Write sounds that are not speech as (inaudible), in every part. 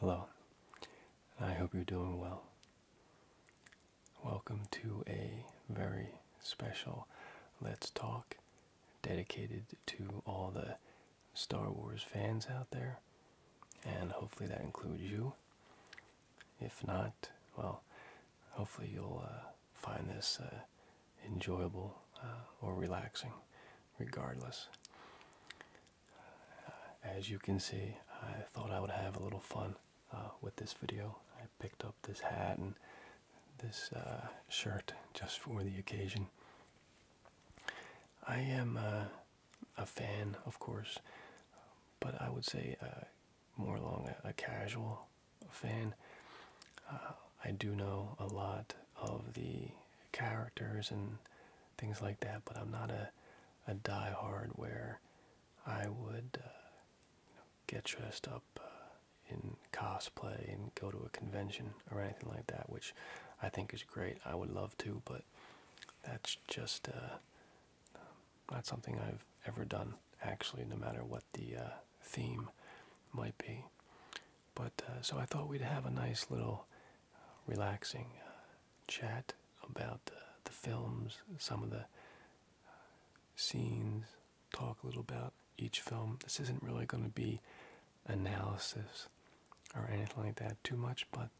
Hello, I hope you're doing well. Welcome to a very special Let's Talk dedicated to all the Star Wars fans out there, and hopefully that includes you. If not, well, hopefully you'll uh, find this uh, enjoyable uh, or relaxing, regardless. As you can see, I thought I would have a little fun uh, with this video. I picked up this hat and this uh, shirt just for the occasion. I am uh, a fan, of course, but I would say more along a, casual fan. I do know a lot of the characters and things like that. But I'm not a a die-hard where I would uh, get dressed up uh, in cosplay and go to a convention or anything like that, which I think is great. I would love to, but that's just uh, not something I've ever done actually, no matter what the theme might be. But uh, so I thought we'd have a nice little uh, relaxing uh, chat about the films, some of the scenes, talk a little about each film. This isn't really going to be analysis or anything like that too much, but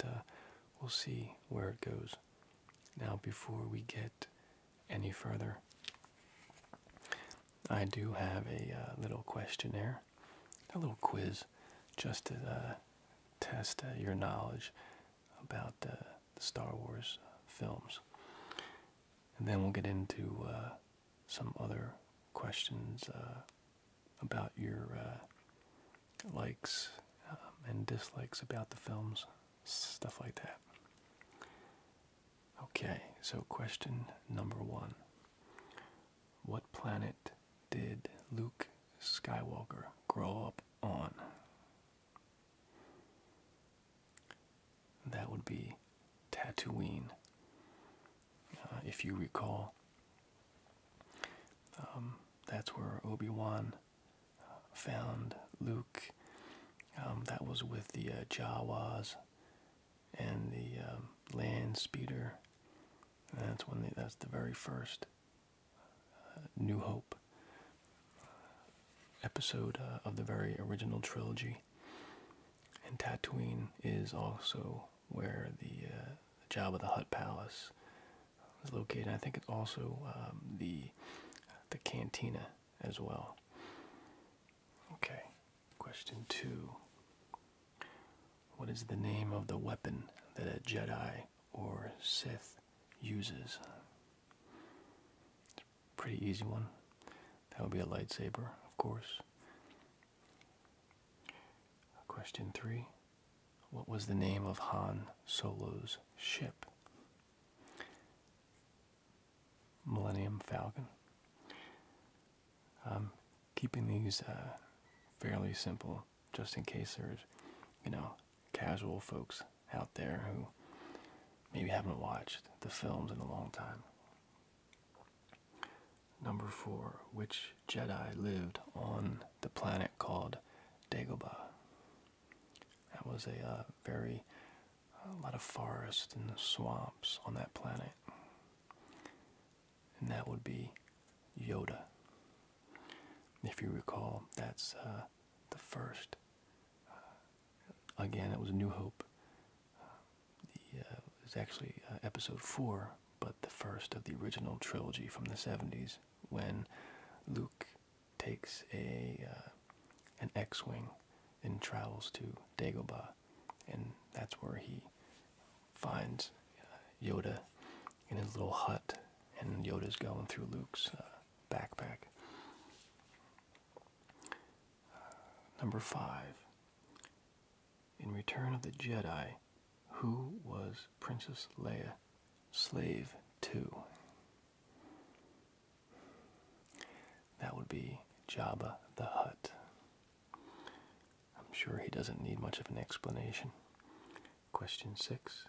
we'll see where it goes. Now, before we get any further, I do have a little questionnaire a little quiz just to uh, test uh, your knowledge about uh, the Star Wars films. And then we'll get into some other questions about your likes um, and dislikes about the films, stuff like that. Okay, so question number one what planet did Luke Skywalker grow up on? That would be Tatooine. Uh, if you recall, um, that's where Obi Wan uh, found Luke. Um, that was with the uh, Jawas and the um, land speeder that's when the, that's the very first uh, New Hope uh, episode uh, of the very original trilogy. And Tatooine is also where the, uh, the Jabba the Hutt Palace is located. I think it's also um, the the cantina as well. Okay, question two. What is the name of the weapon that a Jedi or Sith uses? pretty easy one. That would be a lightsaber, of course. Question three. What was the name of Han Solo's ship? Millennium Falcon. Um, keeping these uh, fairly simple just in case there's, you know, casual folks out there who maybe haven't watched the films in a long time. Number four, which Jedi lived on the planet called Dagobah? That was a uh, very, a uh, lot of forests and swamps on that planet and that would be Yoda. If you recall, that's uh, the first. Uh, again, it was a New Hope. Uh, it was actually uh, episode four, but the first of the original trilogy from the 70s when Luke takes a an X-wing and travels to Dagobah, and that's where he finds uh, Yoda in his little hut, and Yoda's going through Luke's uh, backpack. Uh, number five. In Return of the Jedi, who was Princess Leia slave to? That would be Jabba the Hut. I'm sure he doesn't need much of an explanation. Question 6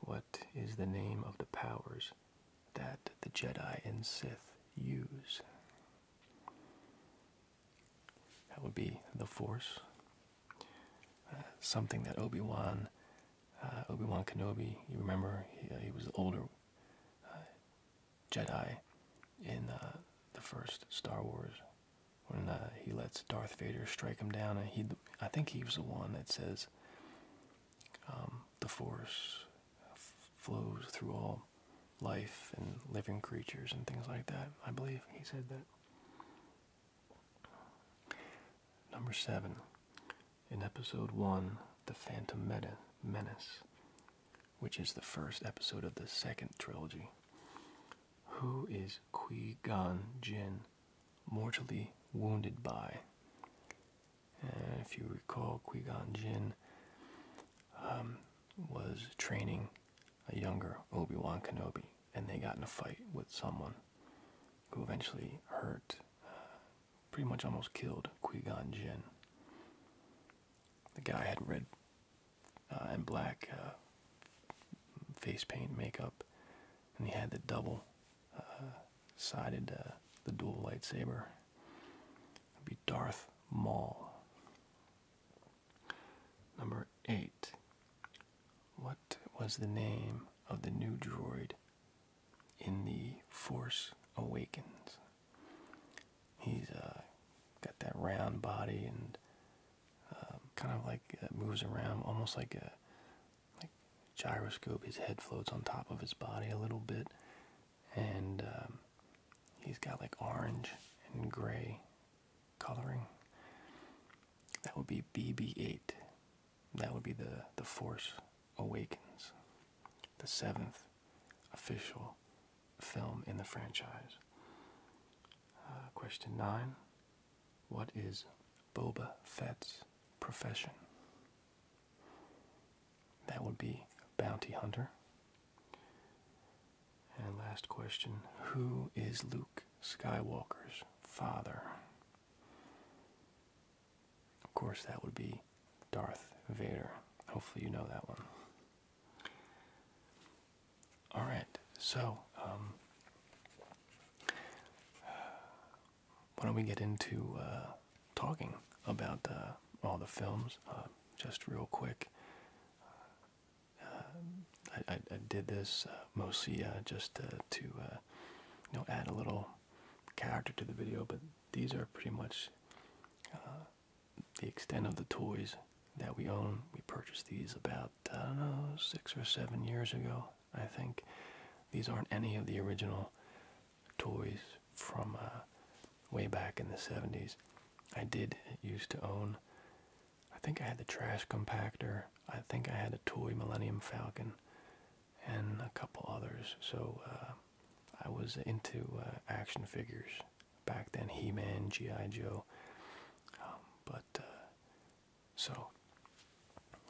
What is the name of the powers that the Jedi and Sith use? That would be the Force. Uh, something that Obi-Wan, uh, Obi-Wan Kenobi, you remember, he, uh, he was the older Jedi in the first Star Wars when uh, he lets Darth Vader strike him down, and he, I think he was the one that says, um, "The Force flows through all life and living creatures and things like that." I believe he said that. Number seven, in episode one, the Phantom Menace which is the first episode of the second trilogy. Who is Qui Gon Jinn mortally wounded by? if you recall, Qui Gon Jinn um, was training a younger Obi Wan Kenobi, and they got in a fight with someone who eventually hurt, uh, pretty much almost killed Qui Gon Jinn. The guy I had read. Uh, and black uh, face paint makeup, and he had the double uh, sided the dual lightsaber. It'd be Darth Maul. Number eight. What was the name of the new droid in the Force Awakens? He's uh, got that round body and um, kind of like uh, moves around almost like a gyroscope. His head floats on top of his body a little bit, and um, he's got like orange and gray coloring. That would be BB-8. That would be the the Force Awakens, the seventh official film in the franchise. Uh, question nine What is Boba Fett's profession? That would be bounty hunter. And last question Who is Luke Skywalker's father? Of course, that would be Darth Vader. Hopefully, you know that one. All right, so um, why don't we get into uh, talking about uh, all the films uh, just real quick? I, did this mostly just to you know add a little character to the video, but these are pretty much the extent of the toys that we own. We purchased these about, I don't know, six or seven years ago, I think. These aren't any of the original toys from uh, way back in the 70s. I did used to own, I think I had the trash compactor, I think I had a toy Millennium Falcon, and a couple others. So uh, I was into uh, action figures back then He-Man, G.I. Joe. Um, but uh, so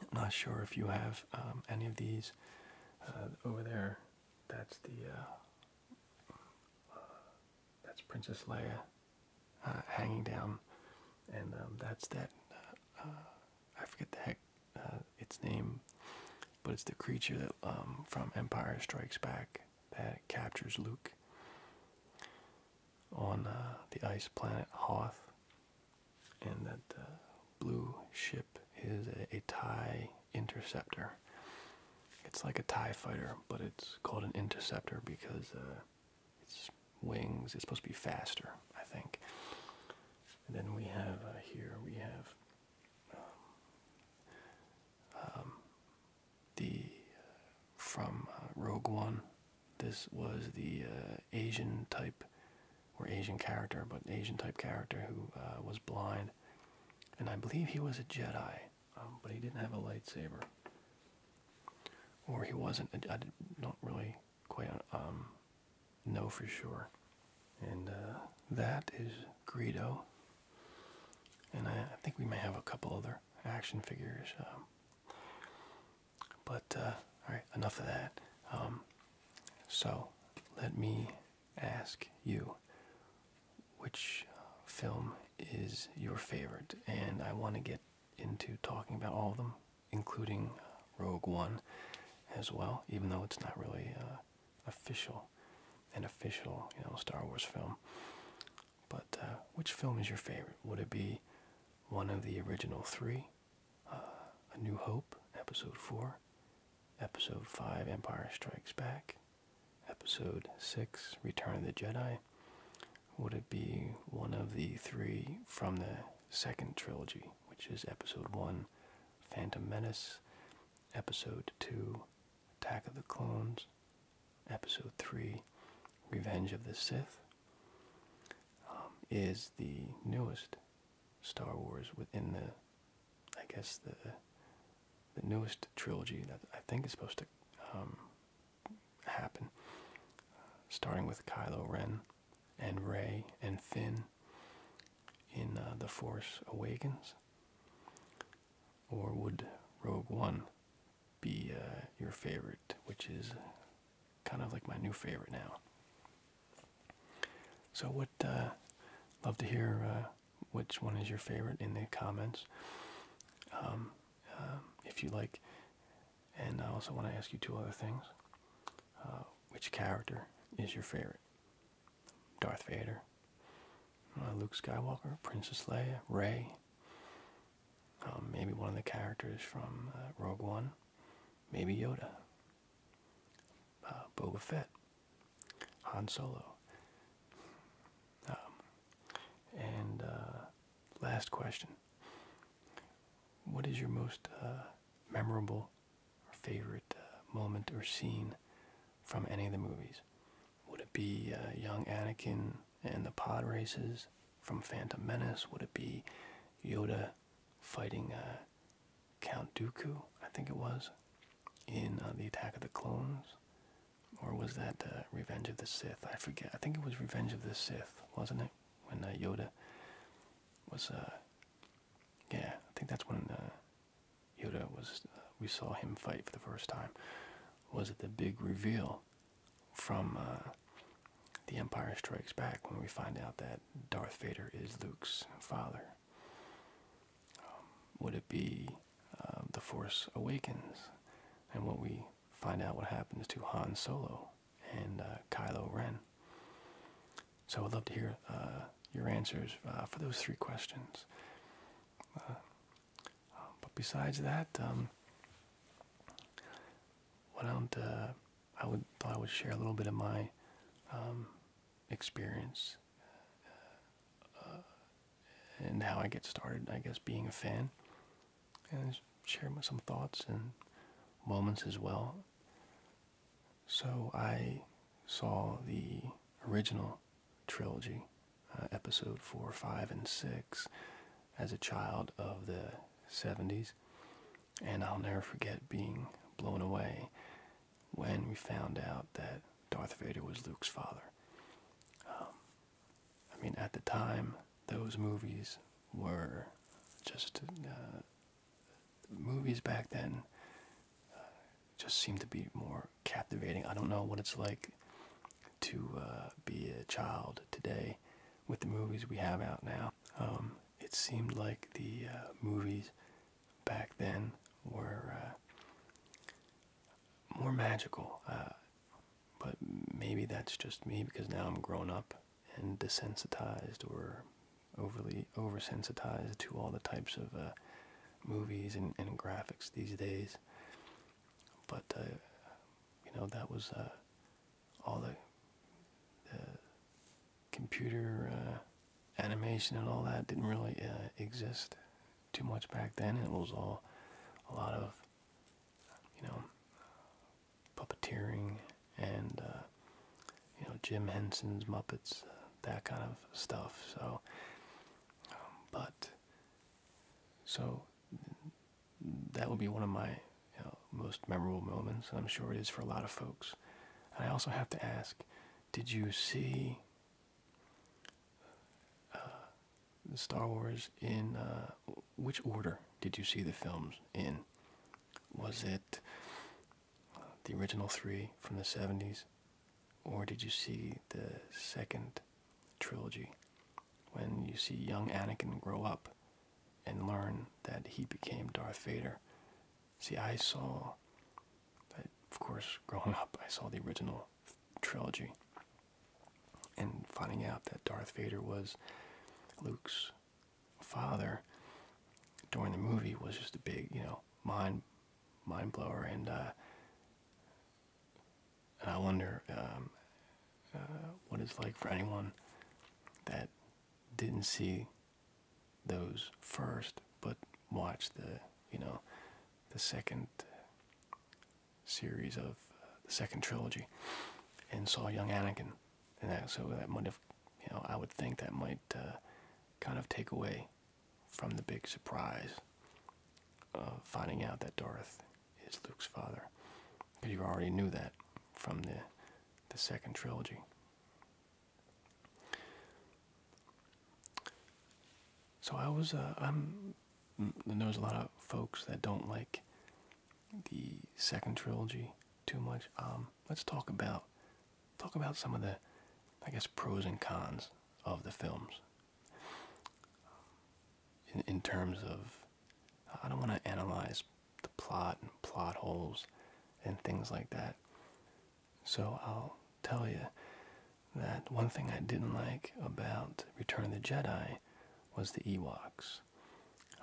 I'm not sure if you have um, any of these uh, over there. That's the uh, that's Princess Leia hanging down, and um, that's that. I forget the heck its name, but it's the creature that from Empire Strikes Back that captures Luke on uh, the ice planet Hoth, and that uh, blue ship is a, TIE interceptor. It's like a TIE fighter, but it's called an interceptor because uh, its wings is supposed to be faster, I think. And then we have uh, here, we have um, um, the uh, from uh, Rogue One. This was the uh, Asian type, or Asian character, but Asian type character who was blind, and I believe he was a Jedi, um, but he didn't have a lightsaber, or he wasn't. I, don't really quite um, know for sure. And that is Greedo, and I think we may have a couple other action figures. Um, but uh, all right, enough of that. Um, so let me ask you, which film is your favorite? And I want to get into talking about all of them, including Rogue One, as well. Even though it's not really uh, official, an official, you know, Star Wars film. But uh, which film is your favorite? Would it be one of the original three? Uh, A New Hope, Episode 4, Episode 5, Empire Strikes Back, Episode 6, Return of the Jedi? Would it be one of the three from the second trilogy, which is Episode 1, Phantom Menace, Episode 2, Attack of the Clones, Episode 3, Revenge of the Sith, um, is the newest Star Wars within the, I guess, the, the newest trilogy that I think is supposed to um, happen, uh, starting with Kylo Ren and Rey and Finn in uh, The Force Awakens or would Rogue One be uh, your favorite, which is kind of like my new favorite now? So, what? Uh, love to hear uh, which one is your favorite in the comments. Um, um, if you like, and I also want to ask you two other things. Uh, which character is your favorite? Darth Vader uh, Luke Skywalker, Princess Leia, Rey, um, maybe one of the characters from uh, Rogue One, maybe Yoda, uh, Boba Fett, Han Solo. Um, and uh, last question. What is your most memorable or favorite moment or scene from any of the movies? Would it be uh, young Anakin and the pod races from Phantom Menace? Would it be Yoda fighting uh, Count Dooku, I think it was, in uh, the Attack of the Clones? Or was that Revenge of the Sith? I forget. I think it was Revenge of the Sith, wasn't it? When Yoda was, yeah, I think that's when Yoda was, we saw him fight for the first time, was it the big reveal from uh, The Empire Strikes Back when we find out that Darth Vader is Luke's father. Um, would it be uh, The Force Awakens and when we find out what happens to Han Solo and uh, Kylo Ren? So I'd love to hear your answers for those three questions. Um, but besides that, um, uh, I would thought I would share a little bit of my um, experience uh, and how I get started. I guess being a fan and share some thoughts and moments as well. So I saw the original trilogy, uh, episode four, five, and six, as a child of the 70s. And I'll never forget being blown away when we found out that Darth Vader was Luke's father. Um, I mean, at the time, those movies were just uh, movies back then. Uh, just seemed to be more captivating. I don't know what it's like to uh, be a child today with the movies we have out now. Um, it seemed like the uh, movies back then were uh, more magical. but maybe that's just me because now I'm grown up and desensitized or overly oversensitized to all the types of movies and graphics these days. But uh, you know that was uh, all the, computer uh, animation and all that didn't really exist too much back then. It was all a lot of you know puppeteering and you know Jim Henson's Muppets, that kind of stuff. So, um, but so that will be one of my most memorable moments, and I'm sure it is for a lot of folks. And I also have to ask, did you see uh, Star Wars in uh, which order did you see the films in? Was it uh, the original three from the 70s, or did you see the second trilogy when you see young Anakin grow up and learn that he became Darth Vader? See, I saw, I, of course, (laughs) growing up, I saw the original trilogy and finding out that Darth Vader was Luke's father during the movie was just a big, you know, mind mind blower and uh, and I wonder um, uh, what it's like for anyone that didn't see those first, but watched the you know the second series of uh, the second trilogy and saw young Anakin, and that so that might have you know I would think that might uh, kind of take away from the big surprise of finding out that Darth is Luke's father. but you already knew that from the, the second trilogy. So I was, uh, I'm, mm, there's a lot of folks that don't like the second trilogy too much. Um, let's talk about, talk about some of the, I guess, pros and cons of the films in, in terms of I don't want to analyze the plot and plot holes and things like that. So I'll tell you that one thing I didn't like about Return of the Jedi was the Ewoks.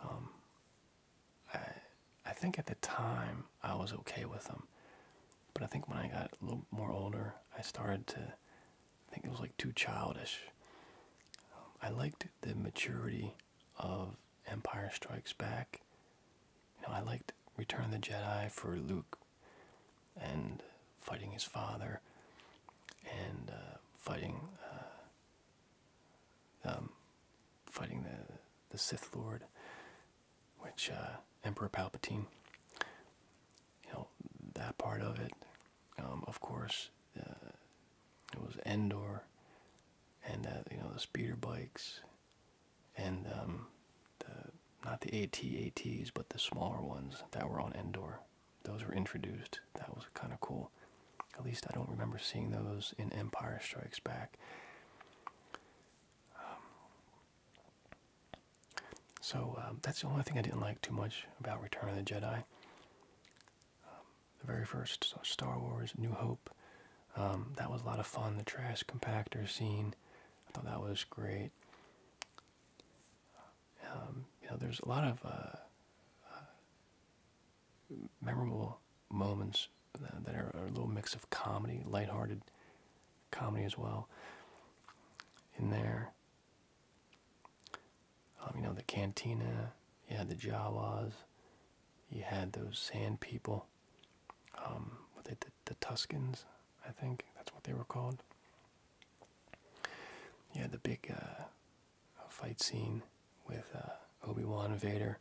Um, I I think at the time I was okay with them. But I think when I got a little more older, I started to I think it was like too childish. Um, I liked the maturity of Empire Strikes Back. You know, I liked Return of the Jedi for Luke and fighting his father and uh, fighting uh, um, fighting the the Sith Lord, which uh, Emperor Palpatine you know that part of it. Um, of course, uh, it was Endor, and uh, you know the speeder bikes, and um, the not the AT-ATs, but the smaller ones that were on Endor. Those were introduced. That was kind of cool. At least I don't remember seeing those in Empire Strikes Back. Um, so um, that's the only thing I didn't like too much about Return of the Jedi. Um, the very first Star Wars, New Hope, um, that was a lot of fun. The trash compactor scene, I thought that was great. you know, there's a lot of uh, uh, memorable moments that are a little mix of comedy, lighthearted comedy as well in there. Um, you know, the cantina, Yeah, the Jawas, you had those sand people, um, what they, the, the Tuscans, I think that's what they were called. Yeah, the big uh, fight scene with uh, Obi-Wan Vader.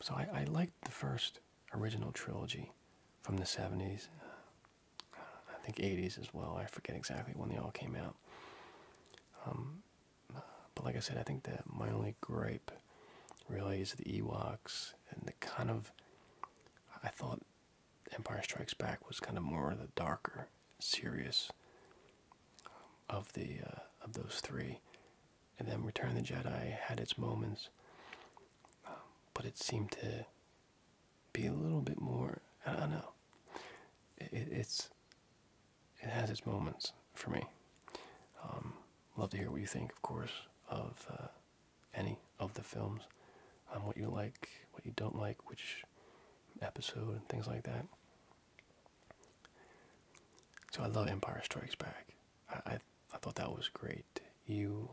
So I, I liked the first original trilogy from the 70s. I think 80s as well. I forget exactly when they all came out. Um, but like I said, I think that my only gripe really is the Ewoks and the kind of. I thought Empire Strikes Back was kind of more of the darker, serious um, of the uh, of those three, and then Return of the Jedi had its moments, um, but it seemed to be a little bit more. I don't know. It, it's it has its moments for me. Um, love to hear what you think, of course, of uh, any of the films, um, what you like, what you don't like, which episode, and things like that. So I love Empire Strikes Back. I I thought that was great. You,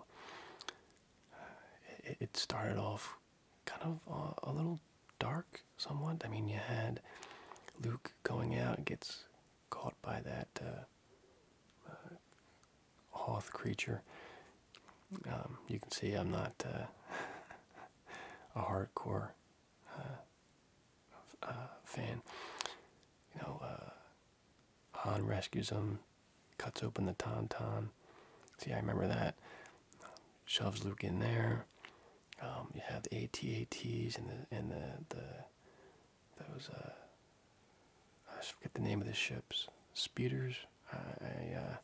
uh, it, started off kind of uh, a little dark, somewhat. I mean, you had Luke going out, gets caught by that uh, Hoth creature. Um, you can see I'm not (laughs) a hardcore fan. You know, Han rescues him, cuts open the Ton Ton. See, I remember that. Shoves Luke in there. Um, you have the ATATs and the and the the those uh, I forget the name of the ships. Spuders. I, uh,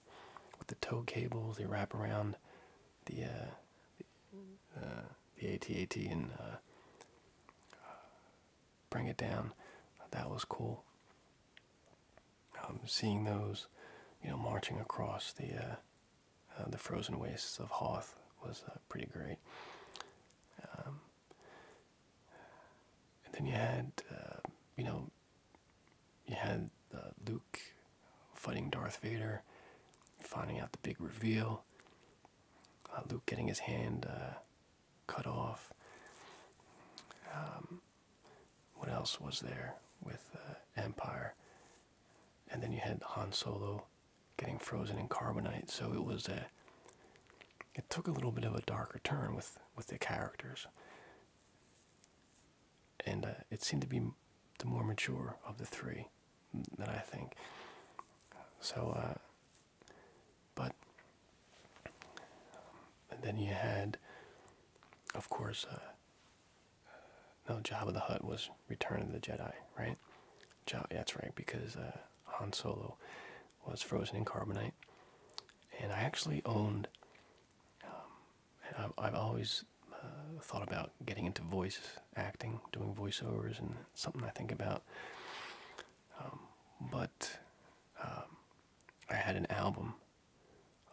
with the tow cables they wrap around the uh, the, uh, ATAT and uh, bring it down. That was cool. Um, seeing those, you know, marching across the uh, uh the frozen wastes of Hoth was uh, pretty great. Um, and then you had, uh, you know, you had uh, Luke fighting Darth Vader, finding out the big reveal. Luke getting his hand cut off. Um, what else was there with uh, Empire? And then you had Han Solo getting frozen in carbonite. So it was a. It took a little bit of a darker turn with with the characters. And uh, it seemed to be the more mature of the three, that I think. So uh, but um, then you had, of course, uh, uh, no, Jabba the Hutt was Return of the Jedi, right? Ja that's right, because uh, Han Solo was frozen in carbonite. And I actually owned, um, I've, always uh, thought about getting into voice acting, doing voiceovers, and something I think about. Um, but um, I had an album,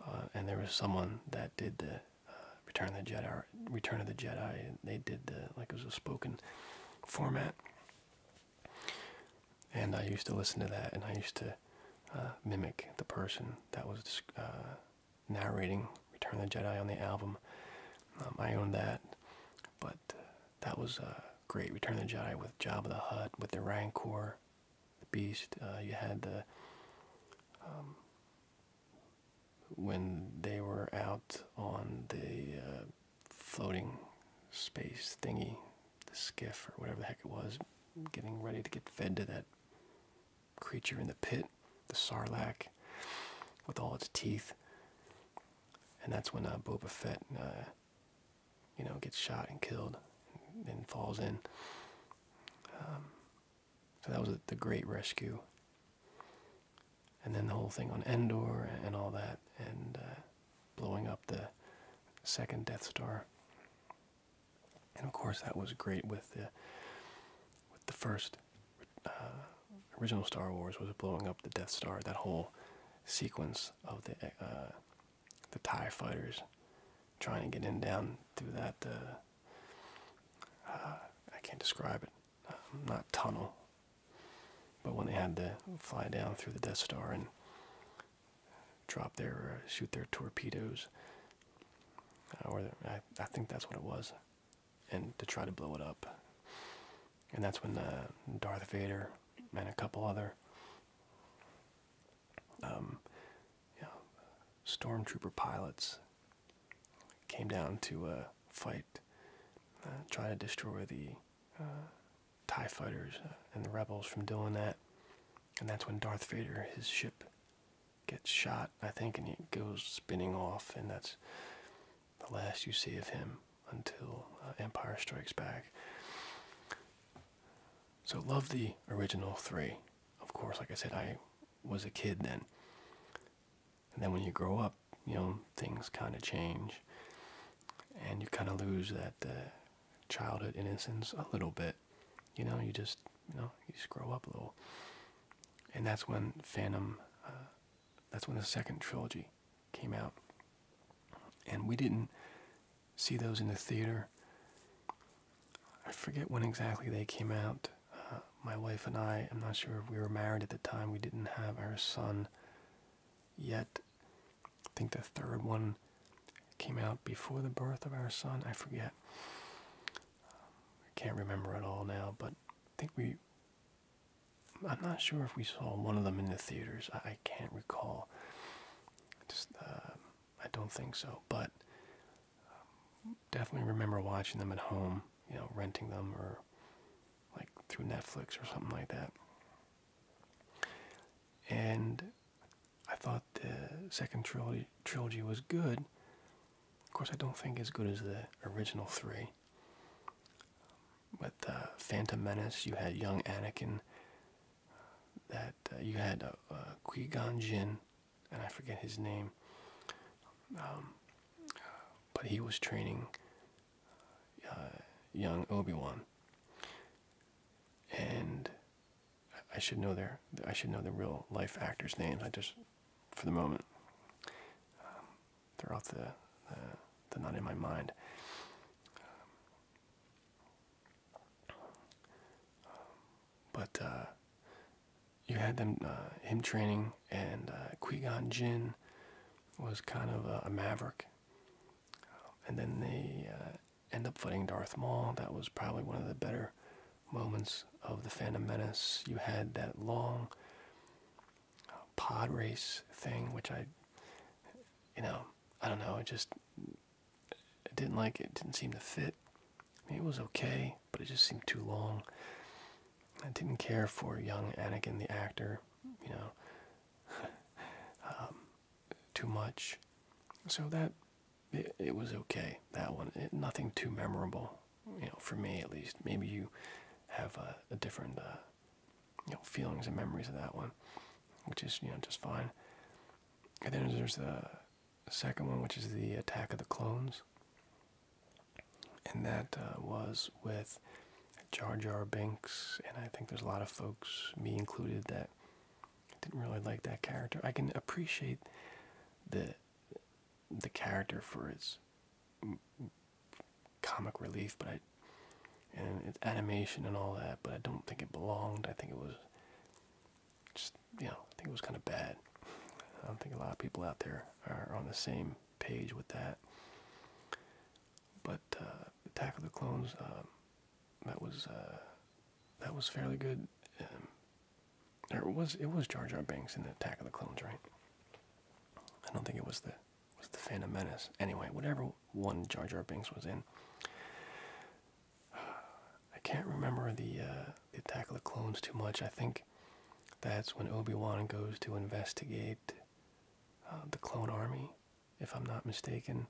uh, and there was someone that did the uh, Return of the Jedi. Return of the Jedi. they did the like it was a spoken format, and I used to listen to that, and I used to uh, mimic the person that was uh, narrating Return of the Jedi on the album. Um, I owned that, but that was a great. Return of the Jedi with Jabba the Hutt, with the Rancor, the Beast. Uh, you had the um, when they were out on the uh, floating space thingy, the skiff or whatever the heck it was, getting ready to get fed to that creature in the pit, the Sarlacc, with all its teeth. And that's when uh, Boba Fett uh, you know, gets shot and killed and, falls in. Um, so that was the great rescue. And then the whole thing on Endor and, all that, and uh, blowing up the second Death Star. And of course, that was great with the with the first uh, original Star Wars was blowing up the Death Star. That whole sequence of the uh, the TIE fighters trying to get in down through that. Uh, uh I can't describe it. Um, not tunnel. But when they had to fly down through the Death Star and drop their, uh, shoot their torpedoes, uh, or I, think that's what it was, and to try to blow it up. And that's when uh, Darth Vader and a couple other um, you stormtrooper pilots came down to uh, fight, uh, trying to destroy the uh, TIE fighters uh, and the rebels from doing that. And that's when Darth Vader, his ship, gets shot, I think, and he goes spinning off, and that's the last you see of him until uh, Empire Strikes Back. So love the original three. Of course, like I said, I was a kid then. And then when you grow up, you know, things kind of change. And you kind of lose that uh, childhood innocence a little bit. You know, you just, you know, you just grow up a little. And that's when Phantom, uh, that's when the second trilogy came out. And we didn't see those in the theater. I forget when exactly they came out. Uh, my wife and I, I'm not sure if we were married at the time, we didn't have our son yet. I think the third one came out before the birth of our son. I forget. I can't remember at all now, but I think we I'm not sure if we saw one of them in the theaters. I, can't recall. Just uh, I don't think so, but um, definitely remember watching them at home. You know, renting them or like through Netflix or something like that. And I thought the second trilogy trilogy was good. Of course, I don't think as good as the original three with Phantom Menace, you had young Anakin. That uh, you had uh, uh, Qui Gon Jinn, and I forget his name. Um, but he was training uh, young Obi Wan, and I should know their I should know the real life actors' names. I just, for the moment, um, they're the, the they not in my mind but uh, you had them uh, him training, and uh, Qui-Gon Jinn was kind of a, maverick. Um, and then they uh, end up fighting Darth Maul. That was probably one of the better moments of the Phantom Menace. You had that long uh, pod race thing, which I, you know, I don't know. It just didn't like it. Didn't seem to fit. it was okay, but it just seemed too long. I didn't care for young Anakin, the actor. You know, (laughs) um, too much. So that it, was okay. That one, nothing too memorable. You know, for me at least. Maybe you have a, different. Uh, you know feelings and memories of that one, which is you know just fine. And then there's the second one, which is the Attack of the Clones, and that uh, was with Jar Jar Binks, and I think there's a lot of folks, me included, that didn't really like that character. I can appreciate the the character for its comic relief, but I and it's animation and all that, but I don't think it belonged. I think it was just you know I think it was kind of bad. I don't think a lot of people out there are on the same page with that. But uh, Attack of the Clones, uh, that was uh, that was fairly good. Um, there was it was Jar Jar Banks in the Attack of the Clones, right? I don't think it was the was the Phantom Menace. Anyway, whatever one Jar Jar Binks was in. (sighs) I can't remember uh, the, Attack of the Clones too much. I think that's when Obi-Wan goes to investigate uh, the clone army, if I'm not mistaken.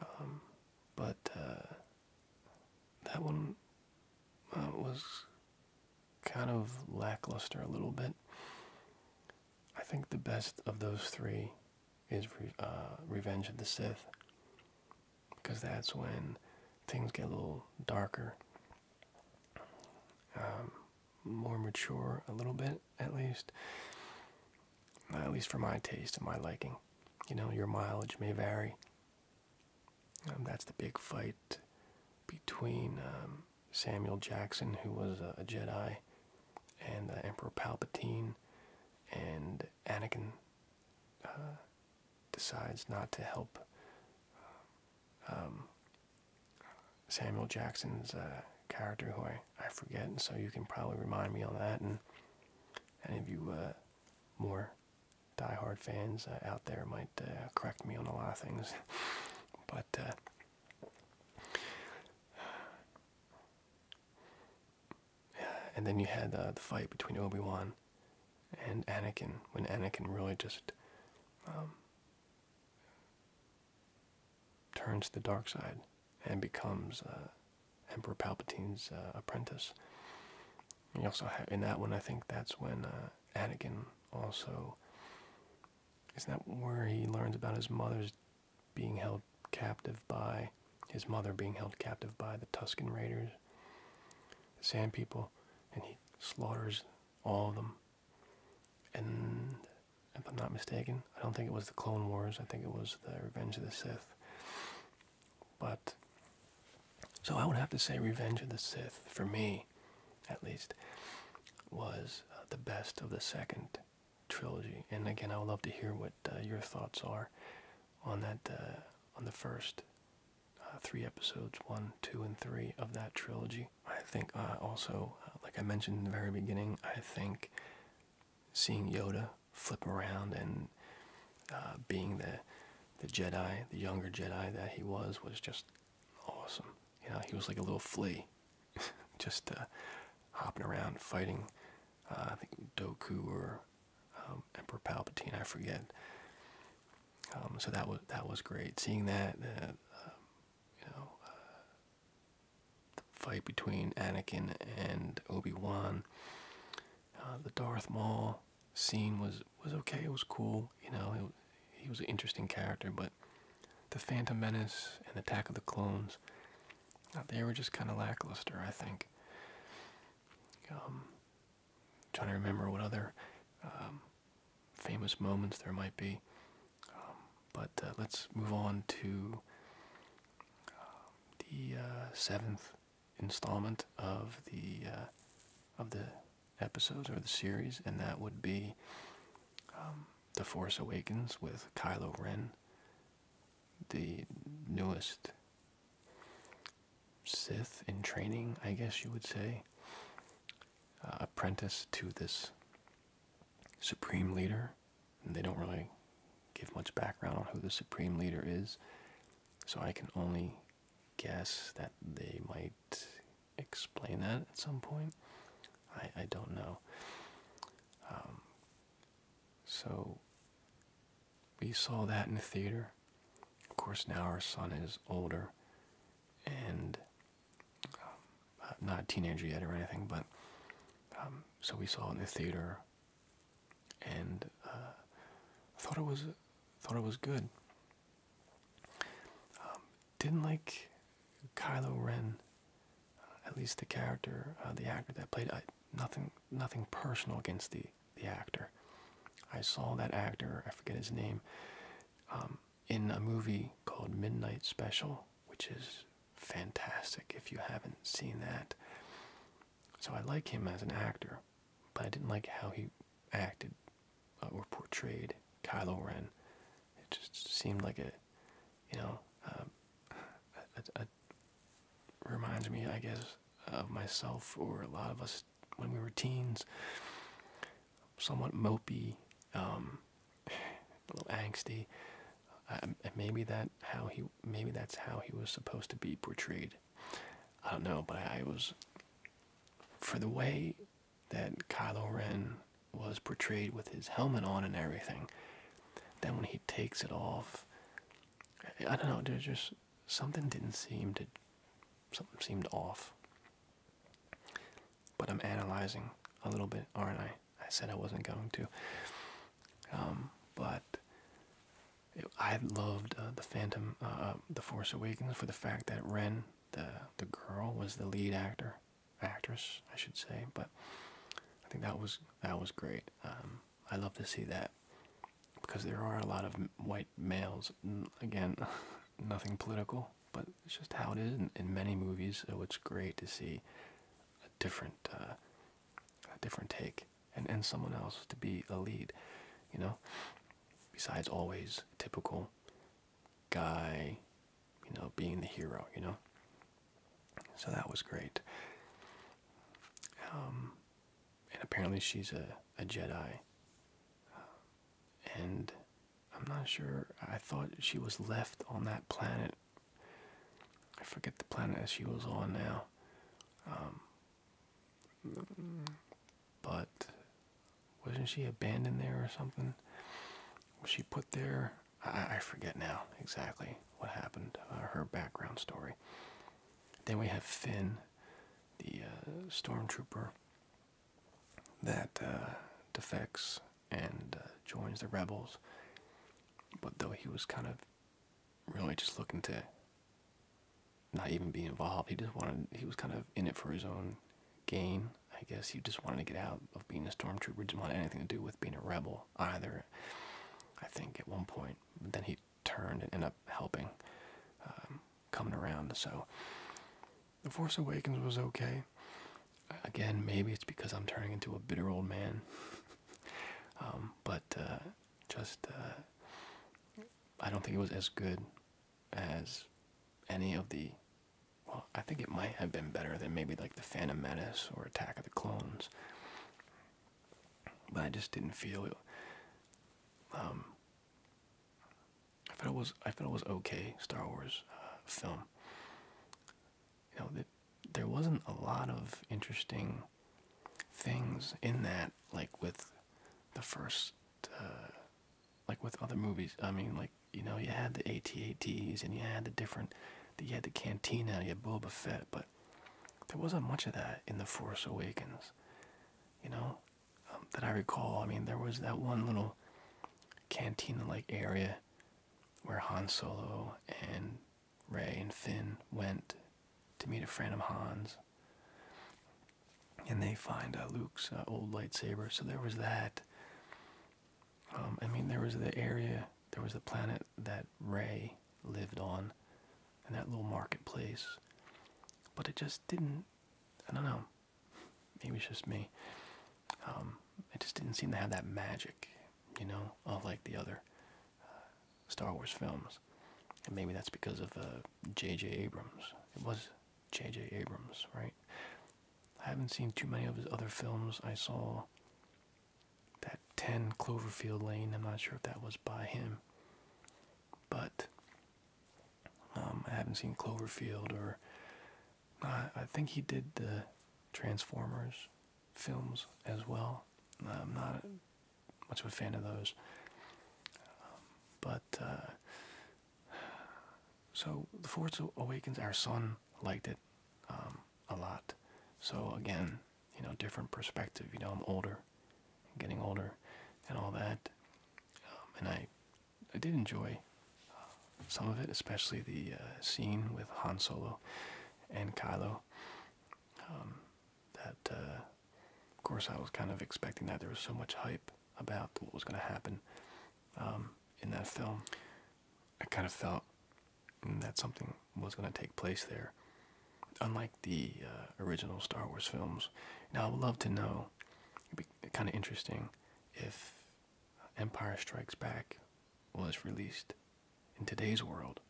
Um, but uh, that one was kind of lackluster a little bit. I think the best of those three is uh, Revenge of the Sith, because that's when things get a little darker, um, more mature, a little bit at least. at least for my taste and my liking. You know, your mileage may vary. Um, that's the big fight between um, Samuel Jackson, who was a, Jedi, and uh, Emperor Palpatine, and Anakin uh, decides not to help um, um, Samuel Jackson's uh, character, who I, I forget, so you can probably remind me on that. And any of you uh, more diehard fans uh, out there might correct me on a lot of things, (laughs) but. And then you had uh, the fight between Obi Wan and Anakin, when Anakin really just um, turns to the dark side and becomes uh, Emperor Palpatine's uh, apprentice. you also have, in that one, I think that's when Anakin also. is that where he learns about his mother's being held captive by his mother being held captive by the Tuscan Raiders, the Sand People, and he slaughters all of them. And if I'm not mistaken, I don't think it was the Clone Wars, I think it was the Revenge of the Sith. But so I would have to say Revenge of the Sith, for me at least, was uh, the best of the second trilogy. And again, I would love to hear what uh, your thoughts are on that uh, on the first uh, three episodes, one, two, and three of that trilogy. I think also, like I mentioned in the very beginning, I think seeing Yoda flip around and being the the Jedi, the younger Jedi that he was, was just awesome. You know, he was like a little flea, (laughs) just uh, hopping around fighting. Uh, I think Doku or um, Emperor Palpatine, I forget. Um, so that was that was great. Seeing that, um, you know, uh, the fight between Anakin and Obi Wan, the Darth Maul scene was was okay. It was cool. You know, he was an interesting character, but the Phantom Menace and Attack of the Clones, uh, they were just kind of lackluster, I think. Um, trying to remember what other um, famous moments there might be. Um, but uh, let's move on to the uh, seventh installment of the of the episodes or the series, and that would be the Force Awakens with Kylo Ren, the newest Sith in training, I guess you would say, uh, apprentice to this Supreme Leader. And they don't really give much background on who the Supreme Leader is, so I can only guess that they might explain that at some point. I, I don't know. Um, so we saw that in the theater. Of course, now our son is older and um, uh, not a teenager yet or anything, but um, so we saw in the theater and uh, thought it was thought it was good didn't like Kylo Ren, uh, at least the character, uh, the actor that played. I, nothing, nothing personal against the the actor. I saw that actor, I forget his name, um, in a movie called Midnight Special, which is fantastic if you haven't seen that. So I like him as an actor, but I didn't like how he acted uh, or portrayed Kylo Ren. It just seemed like it you know, um, reminds me, I guess, of myself or a lot of us when we were teens, somewhat mopey, um, (sighs) a little angsty. and maybe that how he maybe that's how he was supposed to be portrayed. I don't know, but I was for the way that Kylo Ren was portrayed with his helmet on and everything. Then when he takes it off, I don't know. There's just something didn't seem to, something seemed off. But I'm analyzing a little bit, Or I? I said I wasn't going to. Um, but I loved uh, the Phantom, uh, uh, the Force Awakens for the fact that Ren, the the girl, was the lead actor actress, I should say. But I think that was that was great. Um, I love to see that because there are a lot of white males. Again, (laughs) nothing political, but it's just how it is in, many movies. So it's great to see a different uh, a different take and and someone else to be a lead. You know, besides always typical guy, you know, being the hero, you know? So that was great. Um, and apparently she's a, a Jedi. Um, and I'm not sure, I thought she was left on that planet. I forget the planet she was on now. Um, but wasn't she abandoned there or something? Was she put there I, I forget now exactly what happened, uh, her background story. Then we have Finn, the uh, stormtrooper that uh, defects and joins the rebels. But though he was kind of really just looking to not even be involved, he just wanted, he was kind of in it for his own gain. I guess he just wanted to get out of being a stormtrooper. Didn't want anything to do with being a rebel either. I think at one point, but then he turned and ended up helping, um, coming around. So, The Force Awakens was okay. Again, maybe it's because I'm turning into a bitter old man. (laughs) Um, but uh, just, uh, I don't think it was as good as any of the well, I think it might have been better than maybe like the Phantom Menace or Attack of the Clones. But I just didn't feel it. Um, I felt it was I felt it was okay Star Wars uh, film. You know that there wasn't a lot of interesting things in that like with the first uh, like with other movies. I mean, like you know, you had the AT-ATs, and you had the different, you had the Cantina, you had Boba Fett, but there wasn't much of that in the Force Awakens. You know, um, that I recall. I mean, there was that one little cantina-like area where Han Solo and Ray and Finn went to meet a friend of Han's. And they find uh, Luke's uh, old lightsaber. So there was that. Um, I mean, there was the area, there was the planet that Ray lived on, and that little marketplace. But it just didn't. I don't know. Maybe it's just me. Um, it just didn't seem to have that magic, you know, unlike the other uh, Star Wars films. And maybe that's because of J.J. Uh, Abrams. It was J.J. Abrams, right? I haven't seen too many of his other films. I saw that 10 Cloverfield Lane. I'm not sure if that was by him. But um, I haven't seen Cloverfield or. I think he did the Transformers films as well. I'm not much of a fan of those. Um, but uh, so, The Force Awakens, our son liked it um, a lot. So, again, you know, different perspective. You know, I'm older, getting older, and all that. Um, and I, I did enjoy uh, some of it, especially the uh, scene with Han Solo and Kylo. Um, that, uh, of course, I was kind of expecting that. There was so much hype about what was going to happen in that film. I kind of felt that something was going to take place there. Unlike the uh, original Star Wars films. Now, I would love to know, it'd be kind of interesting if Empire Strikes Back was released in today's world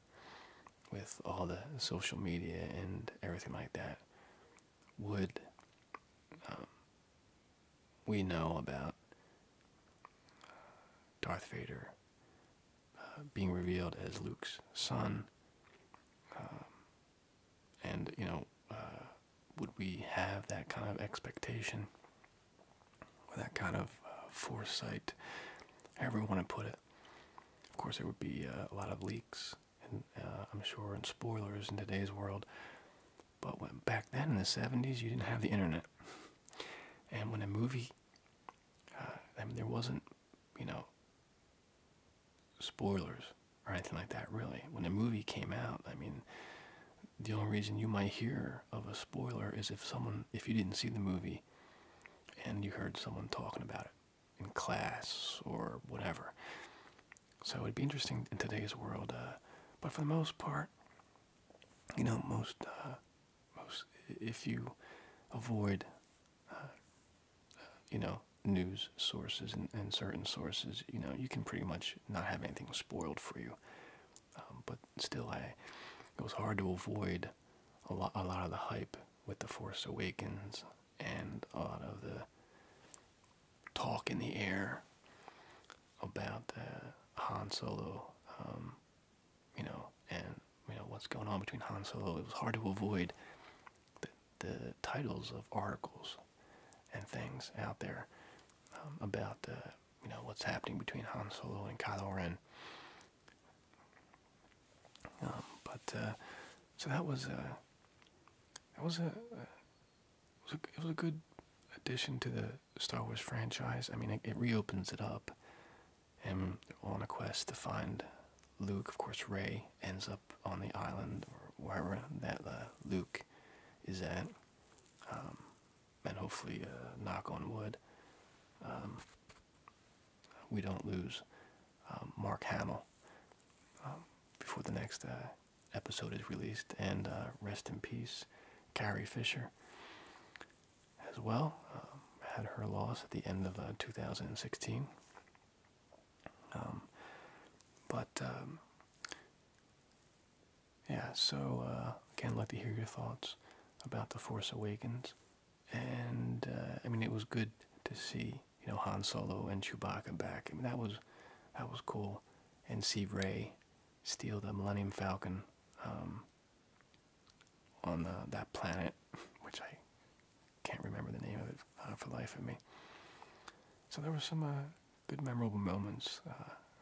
with all the social media and everything like that. Would um, we know about Darth Vader uh, being revealed as Luke's son. Um, and, you know, uh, would we have that kind of expectation that kind of uh, foresight, however you want to put it? Of course, there would be a lot of leaks, and I'm sure, and spoilers in today's world. But back then in the 70s, you didn't have the internet. And when a movie, uh, I mean, there wasn't, you know, spoilers or anything like that, really. When a movie came out, I mean, the only reason you might hear of a spoiler is if someone, if you didn't see the movie and you heard someone talking about it in class or whatever. So it'd be interesting in today's world, uh, but for the most part, you know, most uh, most if you avoid, uh, you know, news sources and, certain sources, you know, you can pretty much not have anything spoiled for you. Um, but still, I it was hard to avoid a lot a lot of the hype with the Force Awakens and a lot of the talk in the air about Han Solo, um, you know, and you know what's going on between Han Solo. It was hard to avoid the, the titles of articles and things out there um, about you know what's happening between Han Solo and Kylo Ren. Um, but uh, so that was uh, a that uh, was a it was a good addition to the Star Wars franchise. I mean, it, reopens it up. And on a quest to find Luke. Of course, Ray ends up on the island or wherever that uh, Luke is at. Um, and hopefully, uh, knock on wood, um, we don't lose um, Mark Hamill before the next uh, episode is released. And uh, rest in peace, Carrie Fisher, as well. Um, had her loss at the end of uh, 2016. Um, but um, yeah, so uh, again, love to hear your thoughts about the Force Awakens, and uh, I mean, it was good to see you know Han Solo and Chewbacca back. I mean, that was that was cool, and see Ray steal the Millennium Falcon um, on that planet, (laughs) which I can't remember the name of it uh, for the life of me. So there were some uh, good memorable moments uh,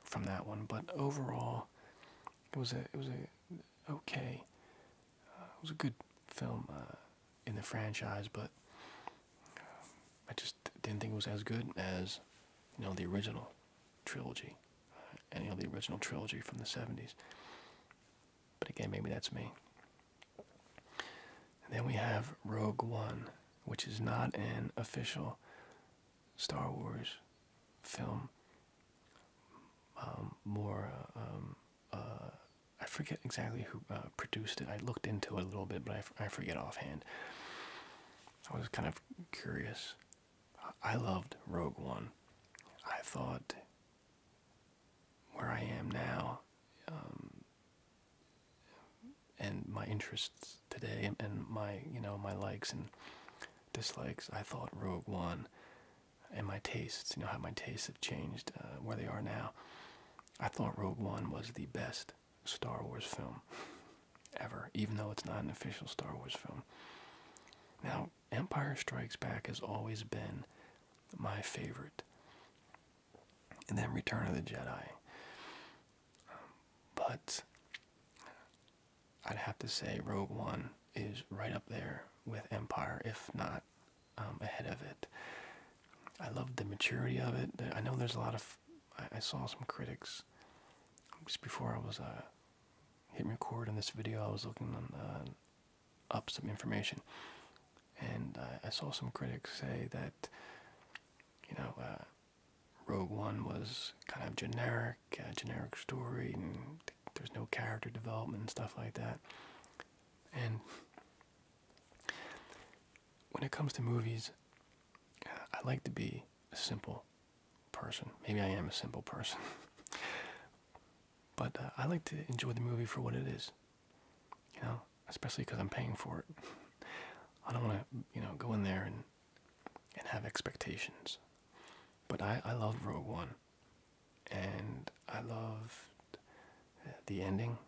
from that one, but overall, it was a it was a okay, it was a good film in the franchise, but I just didn't think it was as good as you know the original trilogy, uh, any of the original trilogy from the '70s. But again, maybe that's me. then we have Rogue One, which is not an official Star Wars film. Um, more, uh, um, uh, I forget exactly who uh, produced it. I looked into it a little bit, but I forget offhand. I was kind of curious. I loved Rogue One. I thought where I am now um, and my interests today and my you know my likes and dislikes I thought Rogue One and my tastes you know how my tastes have changed uh, where they are now I thought Rogue One was the best Star Wars film ever, even though it's not an official Star Wars film. Now, Empire Strikes Back has always been my favorite. And then Return of the Jedi. but I'd have to say Rogue One is right up there with Empire, if not um, ahead of it. I love the maturity of it. I know there's a lot of I, saw some critics just before I was uh, hitting record on this video. I was looking uh, up some information, and uh, I saw some critics say that you know Rogue One was kind of generic, generic story, and there's no character development and stuff like that. And when it comes to movies, I like to be a simple person. Maybe I am a simple person. (laughs) but uh, I like to enjoy the movie for what it is. You know, especially because I'm paying for it. (laughs) I don't want to, you know, go in there and and have expectations. But I I love Rogue One, and I loved uh, the ending.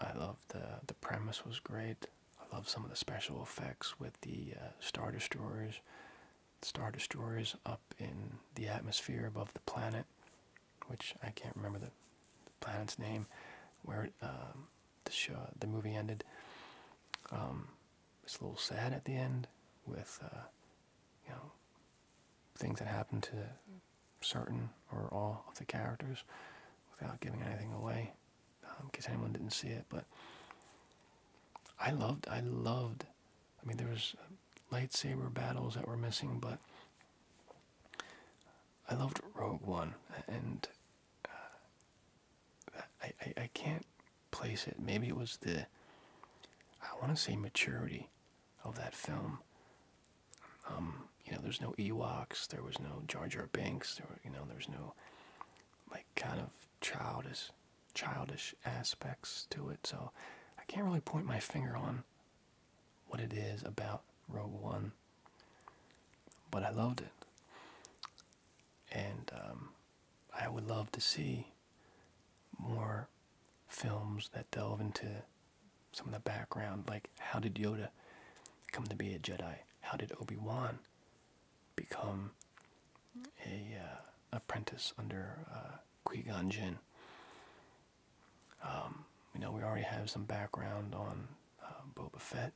I loved the uh, the premise was great. I love some of the special effects with the uh, Star Destroyers. Star Destroyers up in the atmosphere above the planet, which I can't remember the, planet's name, where um, the show, the movie ended. Um, it's a little sad at the end with, uh, you know, things that happen to certain or all of the characters without giving anything away in um, case anyone didn't see it. But I loved, I loved. I mean, there was uh, lightsaber battles that were missing, but I loved Rogue One, and uh, I, I can't place it. Maybe it was the I want to say maturity of that film. Um, you know, there's no Ewoks, there was no George Jar Banks. there were, you know, there was no like kind of childish childish aspects to it so I can't really point my finger on what it is about Rogue One but I loved it and um, I would love to see more films that delve into some of the background like how did Yoda come to be a Jedi how did Obi-Wan become a uh, apprentice under uh, Qui Gon Jinn. Um, you know, we already have some background on uh, Boba Fett.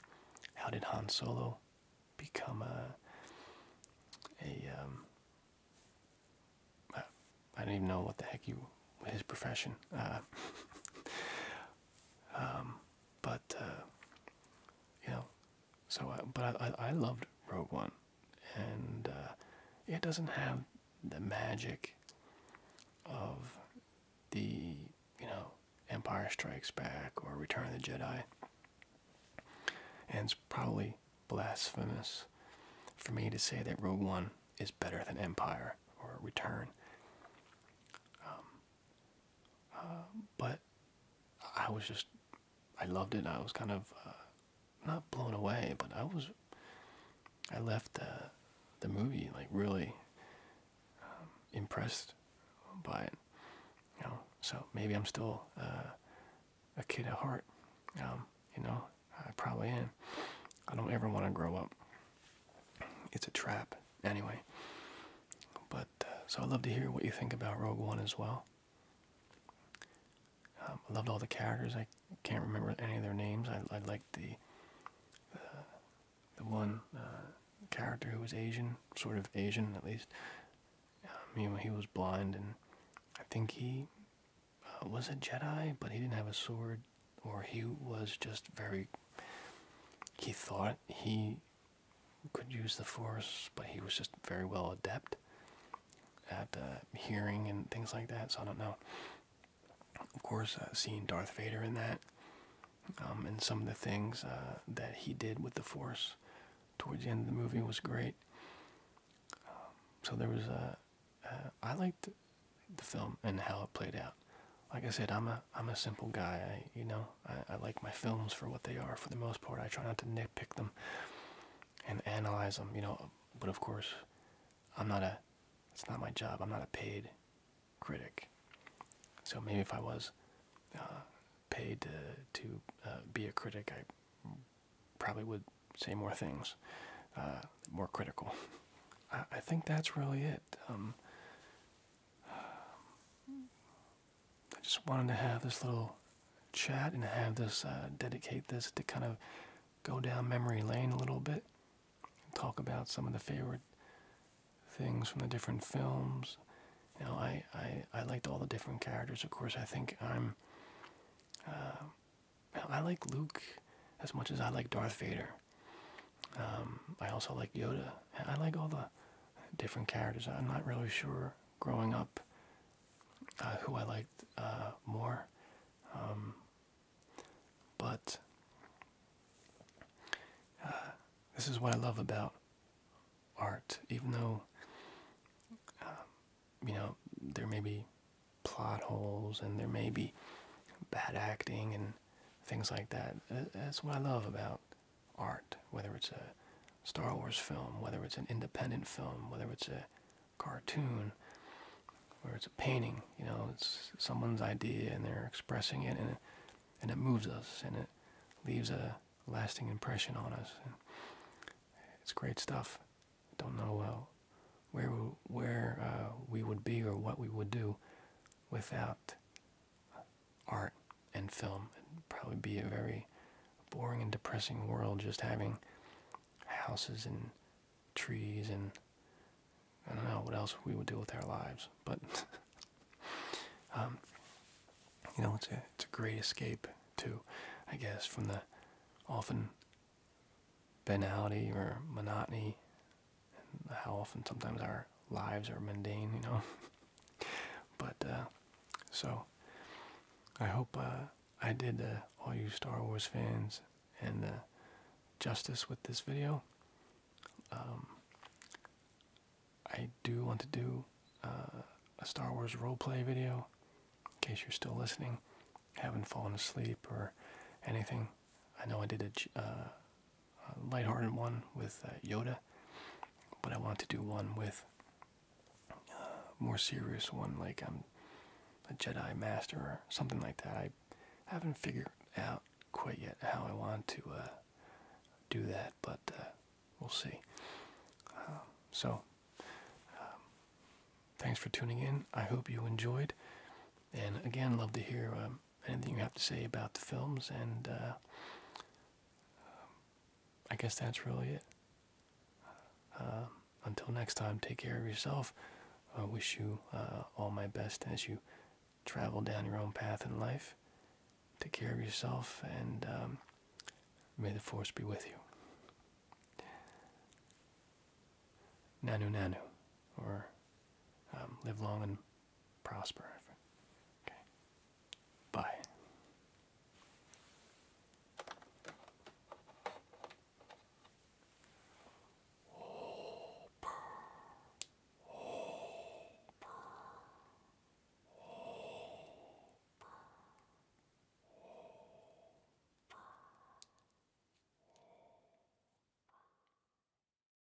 How did Han Solo become a? Um, don't even know what the heck you his profession. Uh, (laughs) um, but uh, you know, so uh, I, but I, I loved Rogue One, and uh, it doesn't have the magic of the you know Empire Strikes Back or Return of the Jedi, and it's probably blasphemous for me to say that Rogue One is better than Empire or Return. Um, um, but I was just I loved it. I was kind of uh, not blown away, but I was I left the movie like really um, impressed by it. You know, so maybe I'm still uh, a kid at heart. Um, you know, I probably am. I don't ever want to grow up. It's a trap, anyway. But uh, so I'd love to hear what you think about Rogue One as well. Um, I loved all the characters. I can't remember any of their names. I, I liked the, the one uh, character who was Asian, sort of Asian at least. Um, he, he was blind, and I think he uh, was a Jedi, but he didn't have a sword, or he was just very. He thought he could use the force, but he was just very well adept at uh, hearing and things like that. So I don't know. Of course, uh, seeing Darth Vader in that, um, and some of the things uh, that he did with the force towards the end of the movie was great. Um, so there was a. I liked the film and how it played out. Like I said, I'm a I'm a simple guy. you know, I, like my films for what they are for the most part. I try not to nitpick them and analyze them, you know. But of course, I'm not a, it's not my job. I'm not a paid critic. So maybe if I was uh, paid to, to uh, be a critic, I probably would say more things, uh, more critical. (laughs) I, think that's really it. Um, I just wanted to have this little chat and have this uh, dedicate this to kind of go down memory lane a little bit and talk about some of the favorite things from the different films. You know, I, I, I liked all the different characters. Of course, I think I'm. Uh, I like Luke as much as I like Darth Vader. Um, I also like Yoda. I like all the different characters. I'm not really sure growing up uh, who I liked uh, more. Um, but uh, this is what I love about art. Even though, um, you know, there may be plot holes and there may be bad acting and things like that. That's what I love about art, whether it's a Star Wars film, whether it's an independent film, whether it's a cartoon, whether it's a painting, you know, it's someone's idea and they're expressing it and it, and it moves us and it leaves a lasting impression on us. it's great stuff. Don't know uh, where where uh, we would be or what we would do without art and film. would probably be a very boring and depressing world just having houses and trees and I don't know what else we would do with our lives. But (laughs) um, you know, it's a it's a great escape too, I guess, from the often banality or monotony how often sometimes our lives are mundane, you know. (laughs) but uh, so I hope uh, I did uh, all you Star Wars fans and justice with this video. Um, I do want to do a Star Wars role play video in case you're still listening, haven't fallen asleep or anything. I know I did a, uh, a lighthearted one with uh, Yoda, but I want to do one with a uh, more serious one, like I'm um, a Jedi Master or something like that. I haven't figured out quite yet how I want to uh, do that, but we'll see. Um, so, um, thanks for tuning in. I hope you enjoyed. And again, love to hear anything you have to say about the films, and uh, um, I guess that's really it. Uh, um, until next time, take care of yourself. I wish you uh, all my best as you travel down your own path in life. Take care of yourself, and um, may the force be with you. Nanu Nanu, or live long and prosper. Okay. Bye.